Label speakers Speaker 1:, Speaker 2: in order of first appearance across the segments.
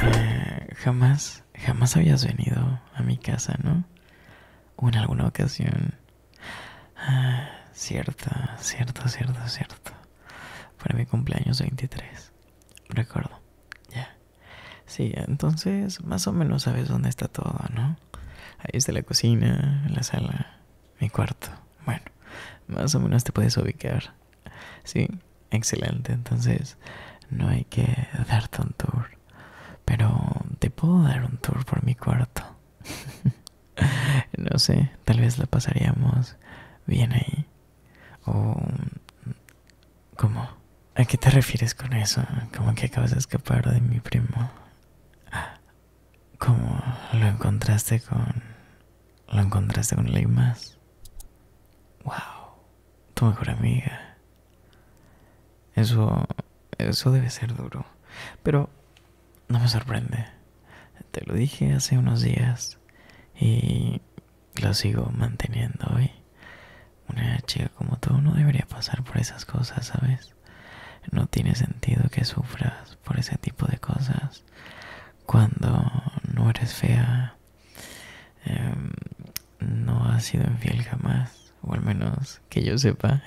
Speaker 1: Eh, jamás, jamás habías venido a mi casa, ¿no? O en alguna ocasión. Ah, cierto, cierto, cierto, cierto. Para mi cumpleaños 23. Recuerdo. Ya. Sí, entonces más o menos sabes dónde está todo, ¿no? Ahí está la cocina, la sala, mi cuarto. Bueno, más o menos te puedes ubicar. Sí, excelente. Entonces, no hay que darte un tour. Pero te puedo dar un tour por mi cuarto. no sé, tal vez la pasaríamos bien ahí. O... ¿Cómo? ¿A qué te refieres con eso? ¿Cómo que acabas de escapar de mi primo. Como lo encontraste con... lo encontraste con Ligmas? Wow, tu mejor amiga. Eso... eso debe ser duro. Pero no me sorprende. Te lo dije hace unos días y lo sigo manteniendo hoy. Una chica como tú no debería pasar por esas cosas, ¿sabes? No tiene sentido que sufras por ese tipo de cosas cuando no eres fea, em, no has sido infiel jamás, o al menos que yo sepa.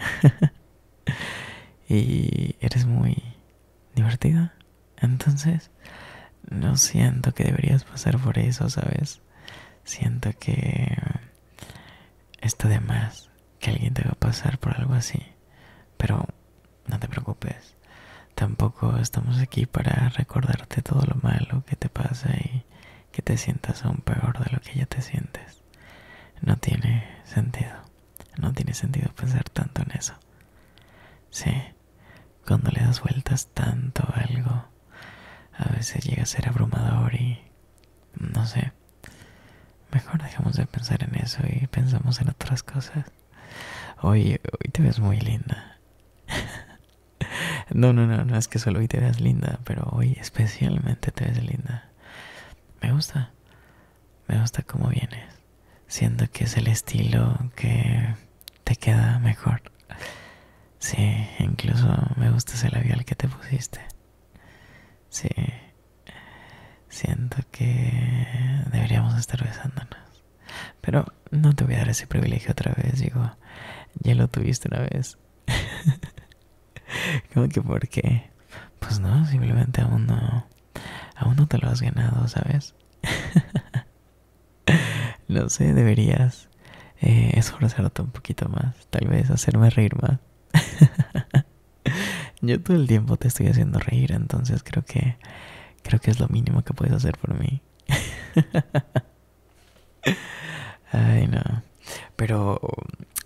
Speaker 1: y eres muy divertida. Entonces, no siento que deberías pasar por eso, ¿sabes? Siento que Esto de más que alguien te va a pasar por algo así, pero no te preocupes. Tampoco estamos aquí para recordarte todo lo malo que te pasa y que te sientas aún peor de lo que ya te sientes. No tiene sentido. No tiene sentido pensar tanto en eso. Sí, cuando le das vueltas tanto a algo, a veces llega a ser abrumador y... no sé, Mejor dejamos de pensar en eso y pensamos en otras cosas. Hoy, hoy te ves muy linda. no, no, no, no es que solo hoy te veas linda, pero hoy especialmente te ves linda. Me gusta. Me gusta cómo vienes. Siento que es el estilo que te queda mejor. Sí, incluso me gusta ese labial que te pusiste. Sí. Siento que deberíamos estar besándonos. Pero no te voy a dar ese privilegio otra vez, digo. Ya lo tuviste una vez. ¿Cómo que por qué? Pues no, simplemente aún no. Aún no te lo has ganado, ¿sabes? no sé, deberías eh, esforzarte un poquito más. Tal vez hacerme reír más. Yo todo el tiempo te estoy haciendo reír, entonces creo que creo que es lo mínimo que puedes hacer por mí. Ay, no. Pero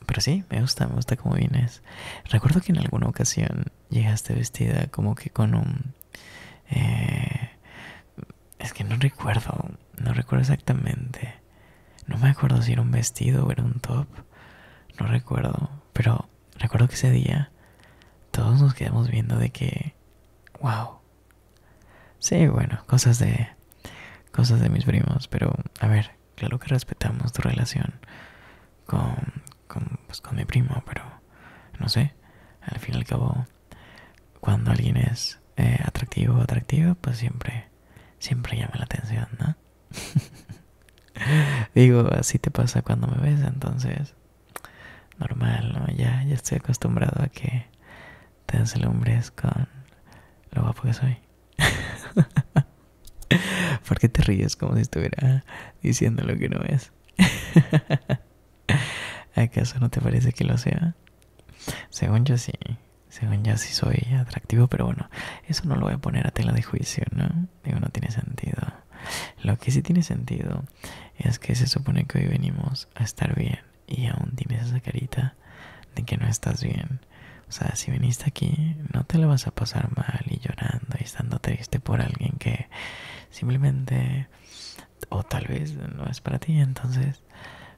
Speaker 1: pero sí, me gusta, me gusta cómo vienes. Recuerdo que en alguna ocasión llegaste vestida como que con un eh, es que no recuerdo, no recuerdo exactamente. No me acuerdo si era un vestido o era un top. No recuerdo. Pero recuerdo que ese día todos nos quedamos viendo de que. ¡Wow! Sí, bueno, cosas de. Cosas de mis primos. Pero, a ver, claro que respetamos tu relación con. pues, con mi primo, pero. No sé. Al fin y al cabo, cuando alguien es eh, atractivo o atractiva, pues siempre. Siempre llama la atención, ¿no? Digo, así te pasa cuando me ves, entonces normal, Ya, ya estoy acostumbrado a que te deslumbres con lo guapo que soy. porque te ríes como si estuviera diciendo lo que no es? ¿Acaso no te parece que lo sea? Según yo sí, según ya si soy atractivo, pero bueno, eso no lo voy a poner a tela de juicio, ¿no? Digo, no tiene sentido. Lo que sí tiene sentido es que se supone que hoy venimos a estar bien y aún tienes esa carita de que no estás bien. O sea, si viniste aquí, no te la vas a pasar mal y llorando y estando triste por alguien que simplemente o tal vez no es para ti. Entonces,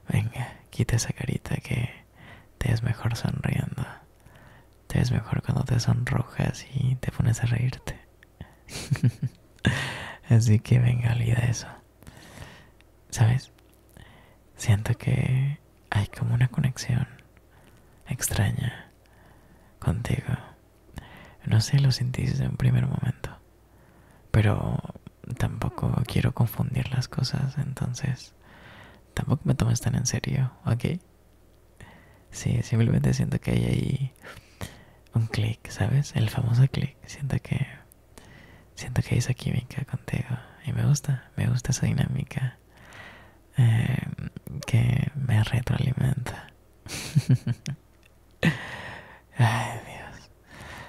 Speaker 1: venga, quita esa carita que te es mejor sonriendo. Te es mejor cuando te sonrojas y te pones a reírte. Así que venga, olvida eso. ¿Sabes? Siento que hay como una conexión extraña contigo. No sé, lo sintiste en un primer momento. Pero tampoco quiero confundir las cosas, entonces Tampoco me tomes tan en serio, ¿ok? Sí, simplemente siento que hay ahí un clic, ¿sabes? El famoso clic. Siento que siento que hay esa química contigo y me gusta, me gusta esa dinámica em, que me retroalimenta. Ay, Dios.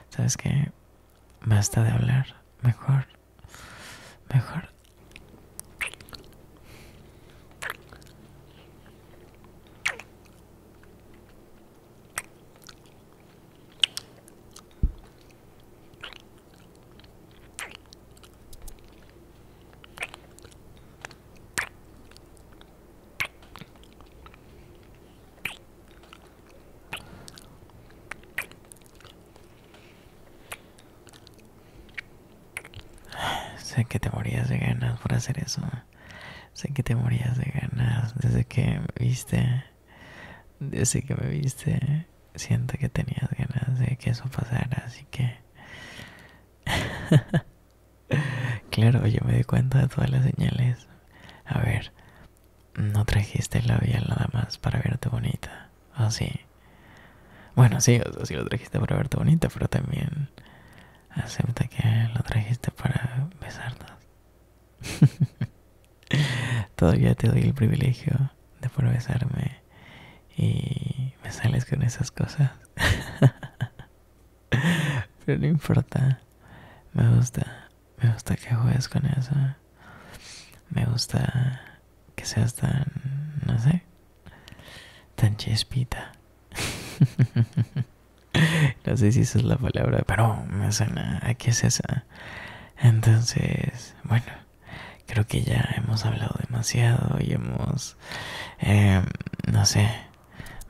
Speaker 1: ¿Sabes qué? Basta de hablar, mejor mejor Sé que te morías de ganas por hacer eso. Sé que te morías de ganas desde que me viste. Desde que me viste. Siento que tenías ganas de que eso pasara, así que... claro, yo me di cuenta de todas las señales. A ver, no trajiste la labial nada más para verte bonita. ¿o sí. Bueno, sí, o sí lo trajiste para verte bonita, pero también acepta que lo trajiste para besarnos. Todavía te doy el privilegio de poder besarme y me sales con esas cosas. pero no importa, me gusta. Me gusta que juegues con eso. Me gusta que seas tan, no sé, tan chispita no sé si esa es la palabra, pero me suena aquí es esa. Entonces, bueno, creo que ya hemos hablado demasiado y hemos, em, no sé,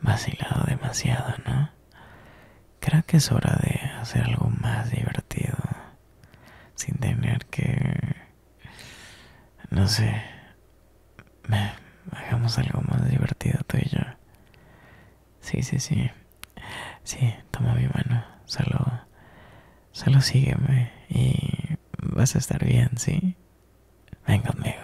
Speaker 1: vacilado demasiado, ¿no? Creo que es hora de hacer algo más divertido sin tener que no sé hagamos algo más divertido tú y yo sí sí sí sí toma mi mano solo solo sígueme y vas a estar bien sí ven conmigo